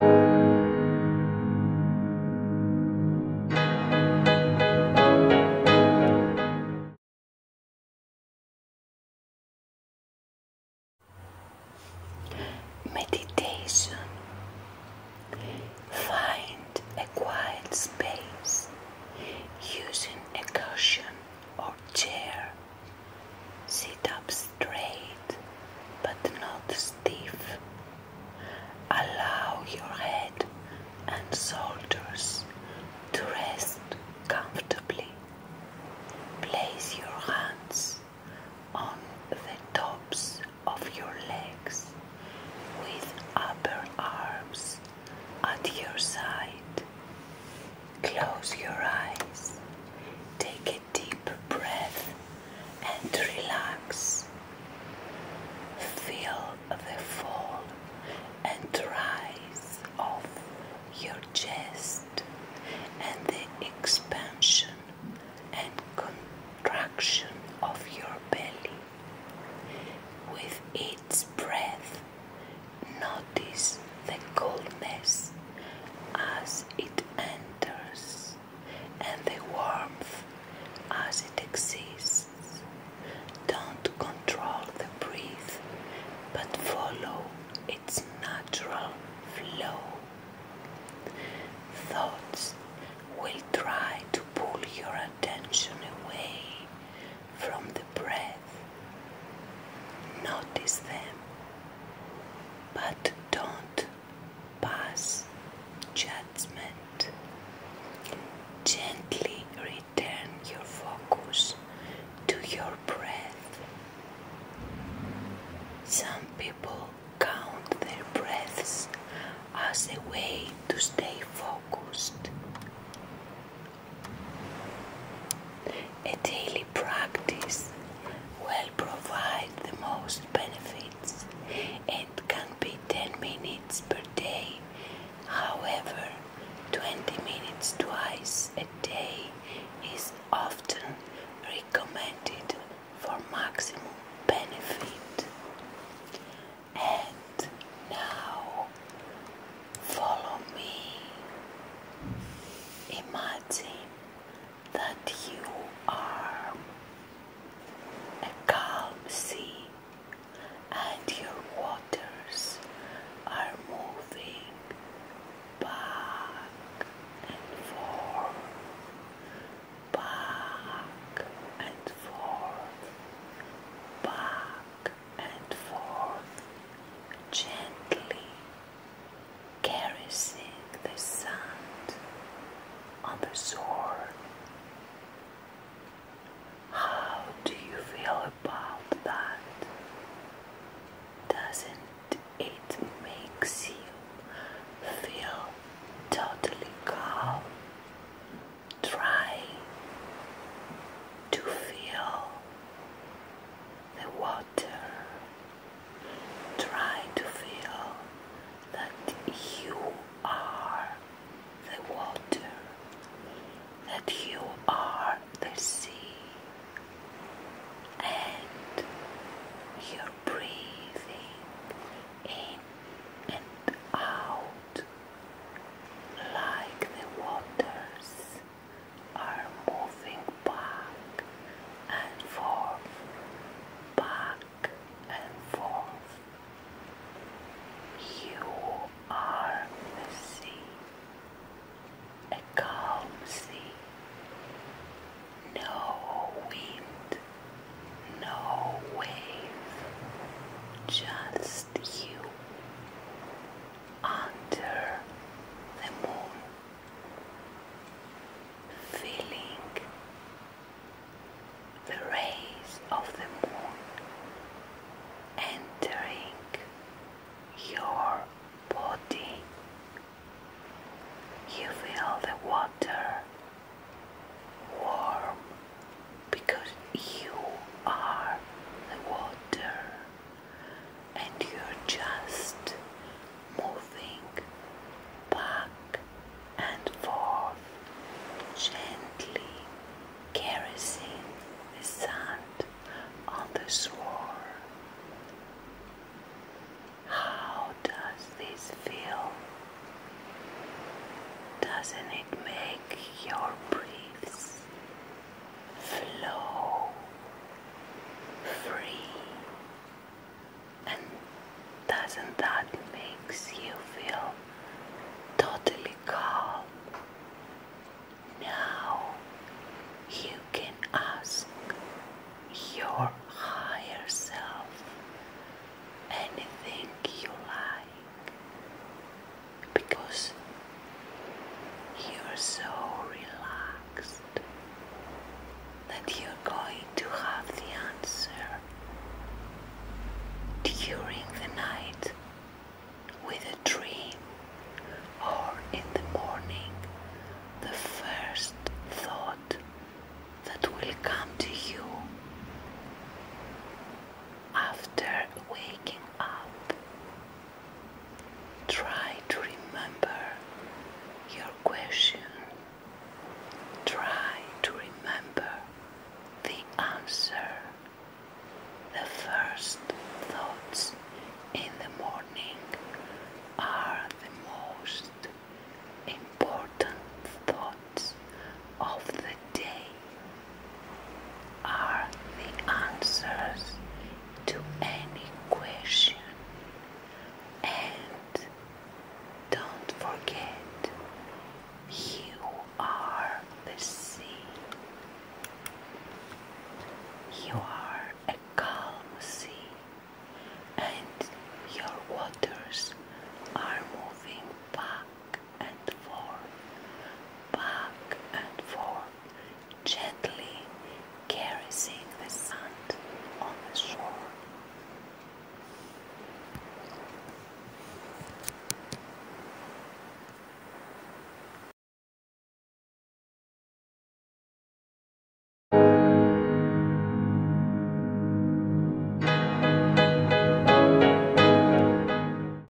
Meditation. Find a quiet space using a cushion or chair. Sit up straight but not stiff. Allow your head and shoulders to rest comfortably. Place your hands on the tops of your legs with upper arms at your side. Close your eyes. Take it deep breath and relax. Feel the fall and rise of your chest and the expansion and contraction of your belly. With each breath, notice the coolness as it ends and the warmth as it exists. Don't control the breath, but follow its natural flow. Thoughts will try to pull your attention away from the breath. Notice them, but don't do pass judgment. Gently return your focus to your breath. Some people count their breaths as a way to stay focused a daily practice will provide the most benefits and can be 10 minutes per day. However, 20 minutes twice a day is often recommended for maximum benefit. And now, follow me. Imagine that you are a calm sea and your waters are moving back and forth, back and forth, back and forth, gently caressing the sand on the shore. How do you feel about that? Doesn't it makes you feel totally calm? Try to feel the water Try to feel that you are the water, that you are the sea, and you're breathing in and out like the waters are moving back and forth, back and forth. You are the sea, a calm sea, no wind, no wave, just you under the moon, feeling the rays of the moon entering your body. You feel the water warm because you are the water and you're just moving back and forth, gently caressing the sand on the shore. How does this feel? Doesn't it make your breaths flow free. And doesn't that makes you feel totally calm? Now you can ask your higher self anything you like because you're so relaxed that you're going to have the answer during the night with a dream or in the morning the first thought that will come to you after waking up Try to remember your question. Try to remember the answer. The first thoughts in the morning are the most important thoughts of the day are the answers to any question. And don't forget, you are the sea. You are a calm sea, and your waters are moving back and forth, back and forth, gently caressing the sand on the shore.